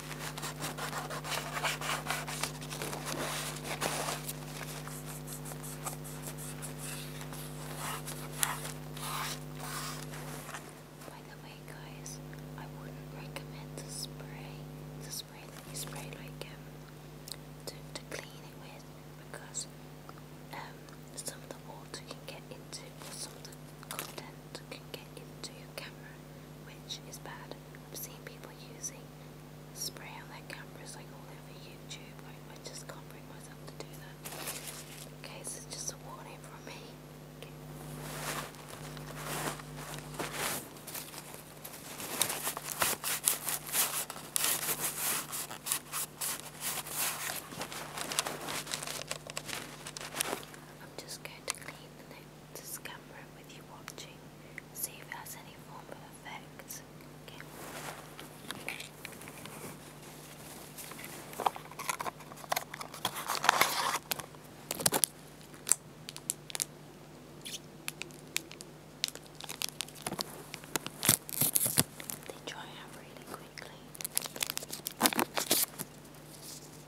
By the way, guys, I wouldn't recommend to spray, the spray that you spray like um, to to clean it with, because um, some of the water can get into, or some of the content can get into your camera, which is bad. I've seen people using spray on their cameras like all over YouTube. I, I just can't bring myself to do that. Okay, so just a warning from me. I'm just going to clean the neck this camera with you watching, see if it has any form of effect. They dry out really quickly.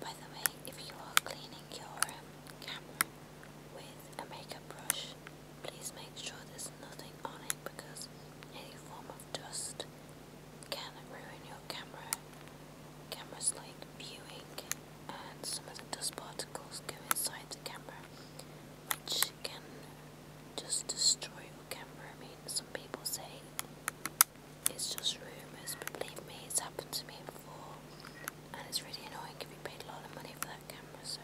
By the way, if you are cleaning your um, camera with a makeup brush, please make sure there's nothing on it because any form of dust can ruin your camera. Cameras like viewing, and some of the dust particles go inside the camera, which can just destroy your camera. I mean, some people say it's just rumors, but believe me, it's happened to me before, and it's really annoying if you paid a lot of money for that camera. So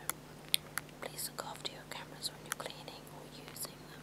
please look after your cameras when you're cleaning or using them.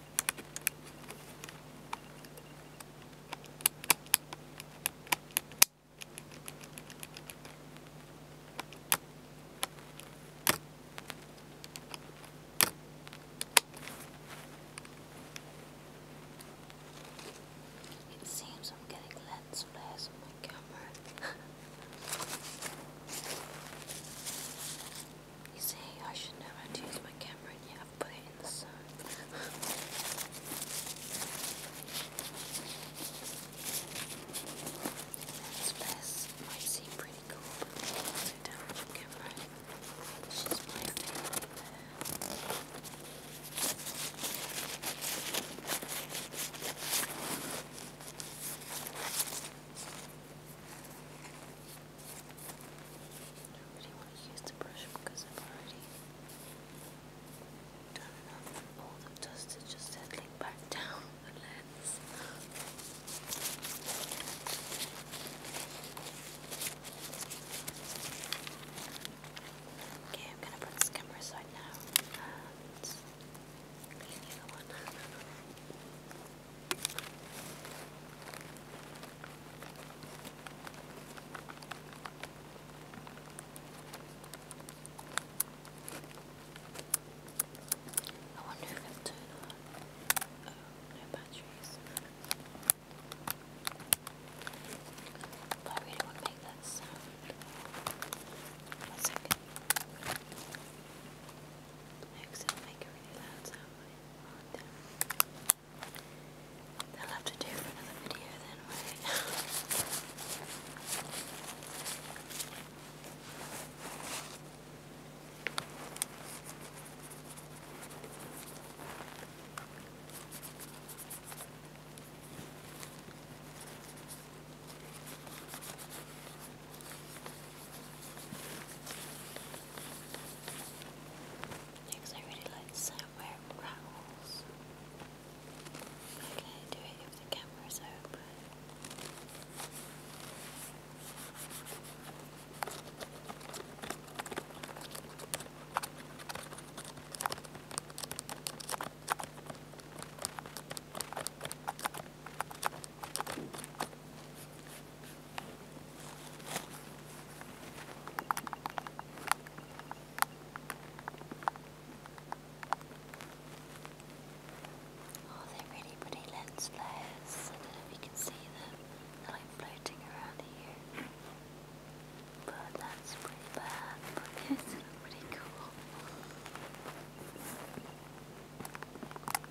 It seems I'm getting lens flares on my camera. You see, I should know how to use my camera, and yet put it in the sun. this place might seem pretty cool, but down from camera. It's just I do to use the brush because i already done enough. All the dust is just settling back down the lens. Okay, I'm gonna put this camera aside now and clean the one. I wonder if it'll turn on. Oh, no batteries. But I really want to make that sound. One second. No, because it'll make a really loud They'll have to do for another video then, will Next, I really like the rattles. I do it if the camera's open. Oh, they really pretty lens flares. I don't know if you can see them. They're like floating around here. But that's pretty bad. But these look pretty cool.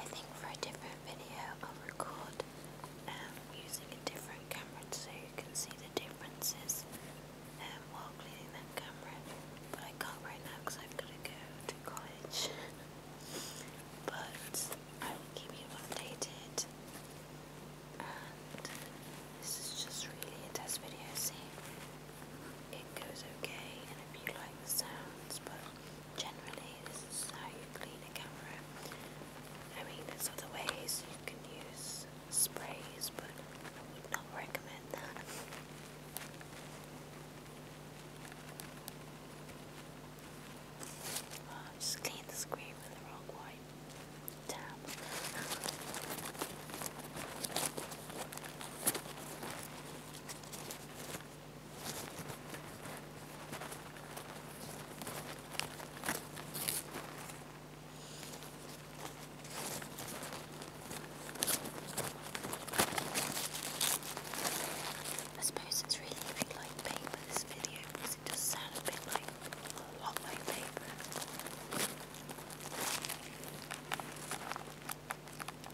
I think for a different video I'll record um, using a different camera so you can see the differences um, while cleaning that camera. But I can't right now because I've got to go to college. but I will keep you updated. And this is just really a test video, see? It goes okay, and if you like the sounds, but generally this is how you clean a camera. I mean there's other ways you can use sprays but I would not recommend that. Oh, I just cleaned the screen with the wrong white tab. I suppose it's really a bit like paper this video because it does sound a bit like a lot like paper.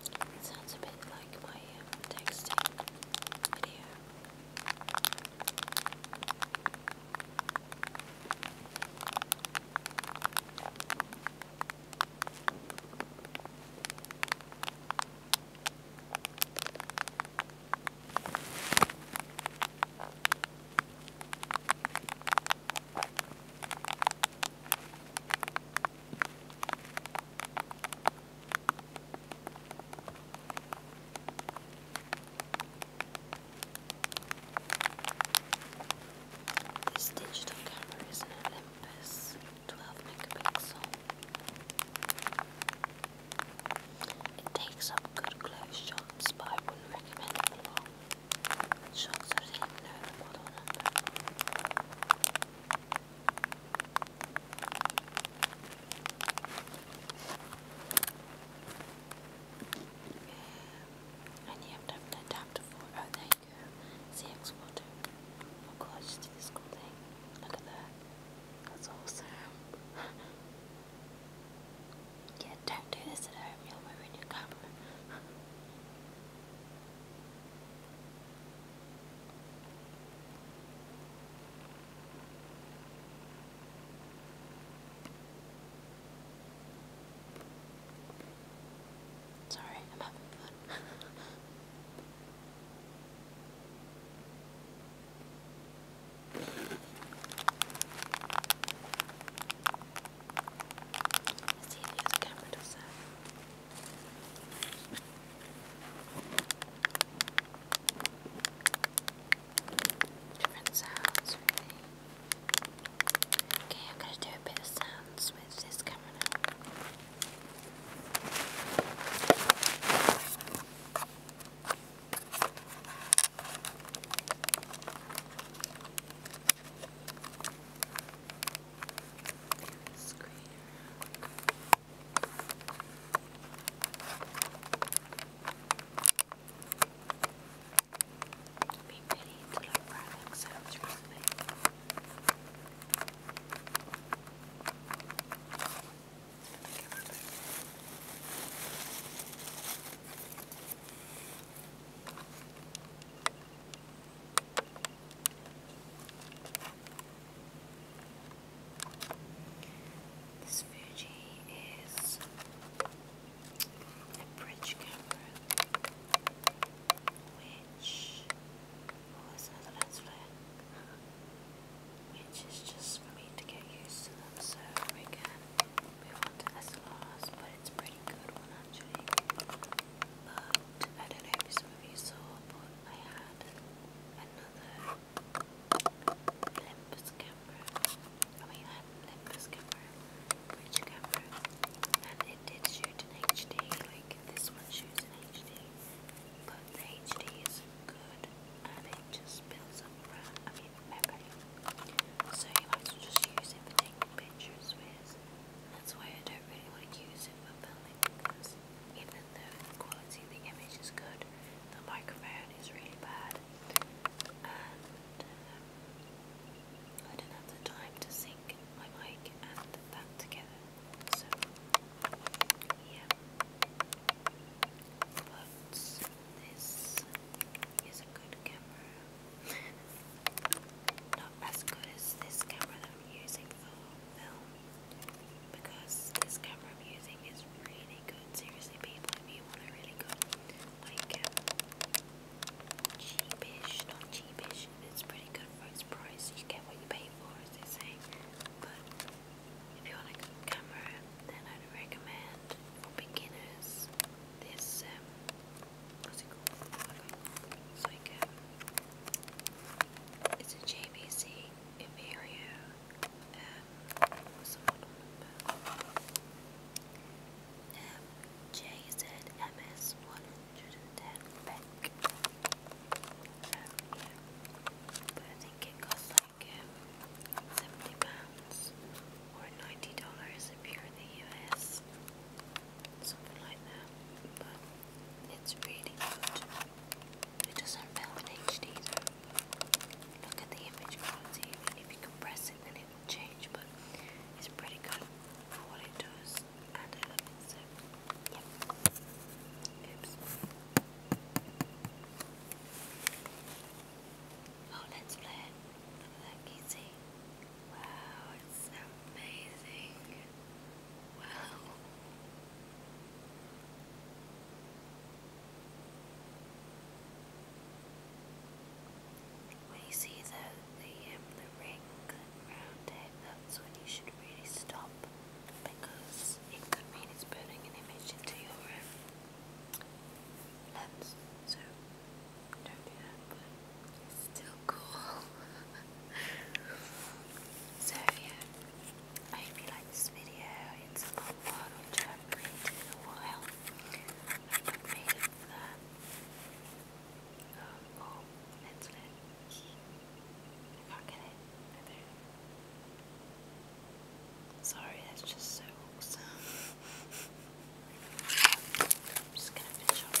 It sounds a bit like my um, texting video. This digital camera is an Olympus 12 megapixel. It takes up good close shots, but I wouldn't recommend it for long. Shots and you have to have an it. Oh, there you go. CX water. Oh god, just do this cool thing. Look at that. That's awesome. yeah, don't do this at home. You'll ruin your camera. Sorry, I'm having fun. Let's see if his camera does that. Different sounds, Okay, I'm gonna do a bit of sounds with this camera It'd be pity to let products out through the I this Fuji is a bridge camera, which oh, another lens which is just for me to get used to them. So we can move on to but it's pretty good but I don't know if some of you saw, but I had another Olympus camera. I mean, I had an Olympus camera, which camera, and it did shoot in HD. Like this one shoots in HD, but the HD is good, and it just builds up RAM. I mean, memory. So you might as just use it for taking pictures with. That's why I don't really want to use it for filming because even though the quality of the image is good, the microphone is really bad, and um, I don't have the time to sync my mic and that together. So yeah, but this is a good camera. Not as good as this camera that I'm using for film, because this camera I'm using is really good. Seriously, people, if you want a really good, like, um, cheapish, not cheapish, it's pretty good for its price. You get what you pay for, as they say. But if you want a good camera, then I'd recommend for beginners this. Um, what's it called? It's like um, it's a JVC Imperial. Um, 110 Beck. Um, but I think it costs like um, £70 or $90 if you in the US. Something like that. It's really good. It doesn't film in HD Look at the image quality. If you compress it, it will change, but it's pretty good for what it does, and I love so. Oops. Oh, let's play it. Look at that Wow, it's amazing. Wow. When you see the the, um, the ring around it, that's when you should really stop because it could mean it's burning an image into your um, lens. So don't do that. so yeah, I hope you like this video. It's a long a while. Uh, oh, Sorry, that's just so awesome. I'm just gonna finish off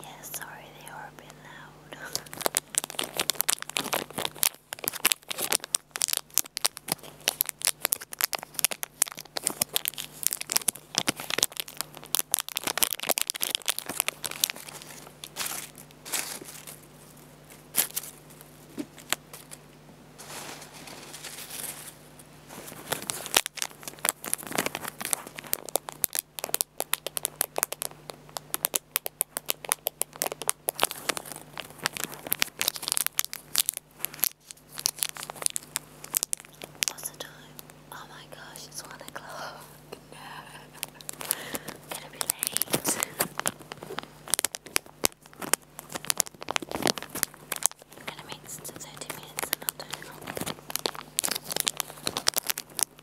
Yeah, sorry they are a bit loud. What's the time? Oh my gosh, it's one o'clock. No. gonna be late. I'm gonna make 30 minutes I'm turning off. I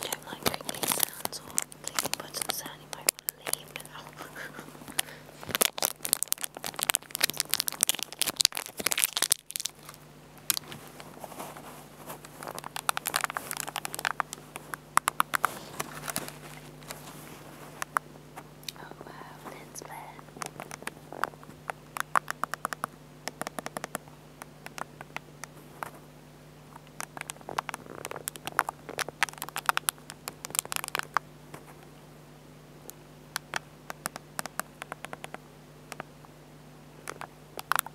don't like crinkly sounds or clicking buttons sound, you might want to leave now. Oh wow, let's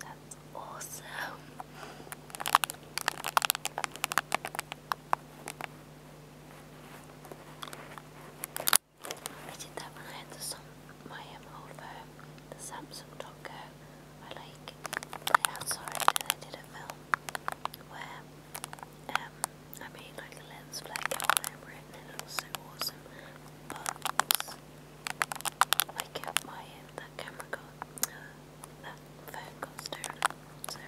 That's awesome. I did that when I had the, my um, over the Samsung Talker I like I saw it and I did not film where um I made like a lens flare whatever and it was so awesome. But I kept my that camera got uh, that phone got stolen. So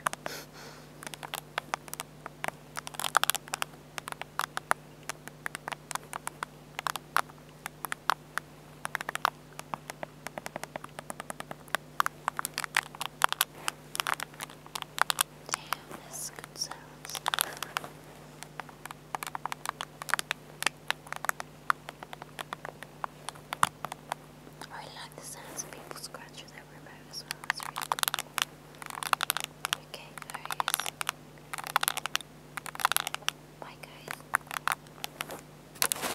Damn, this sounds. I like the sounds of people scratching their remote as well. It's really cool. Okay, there Bye, guys.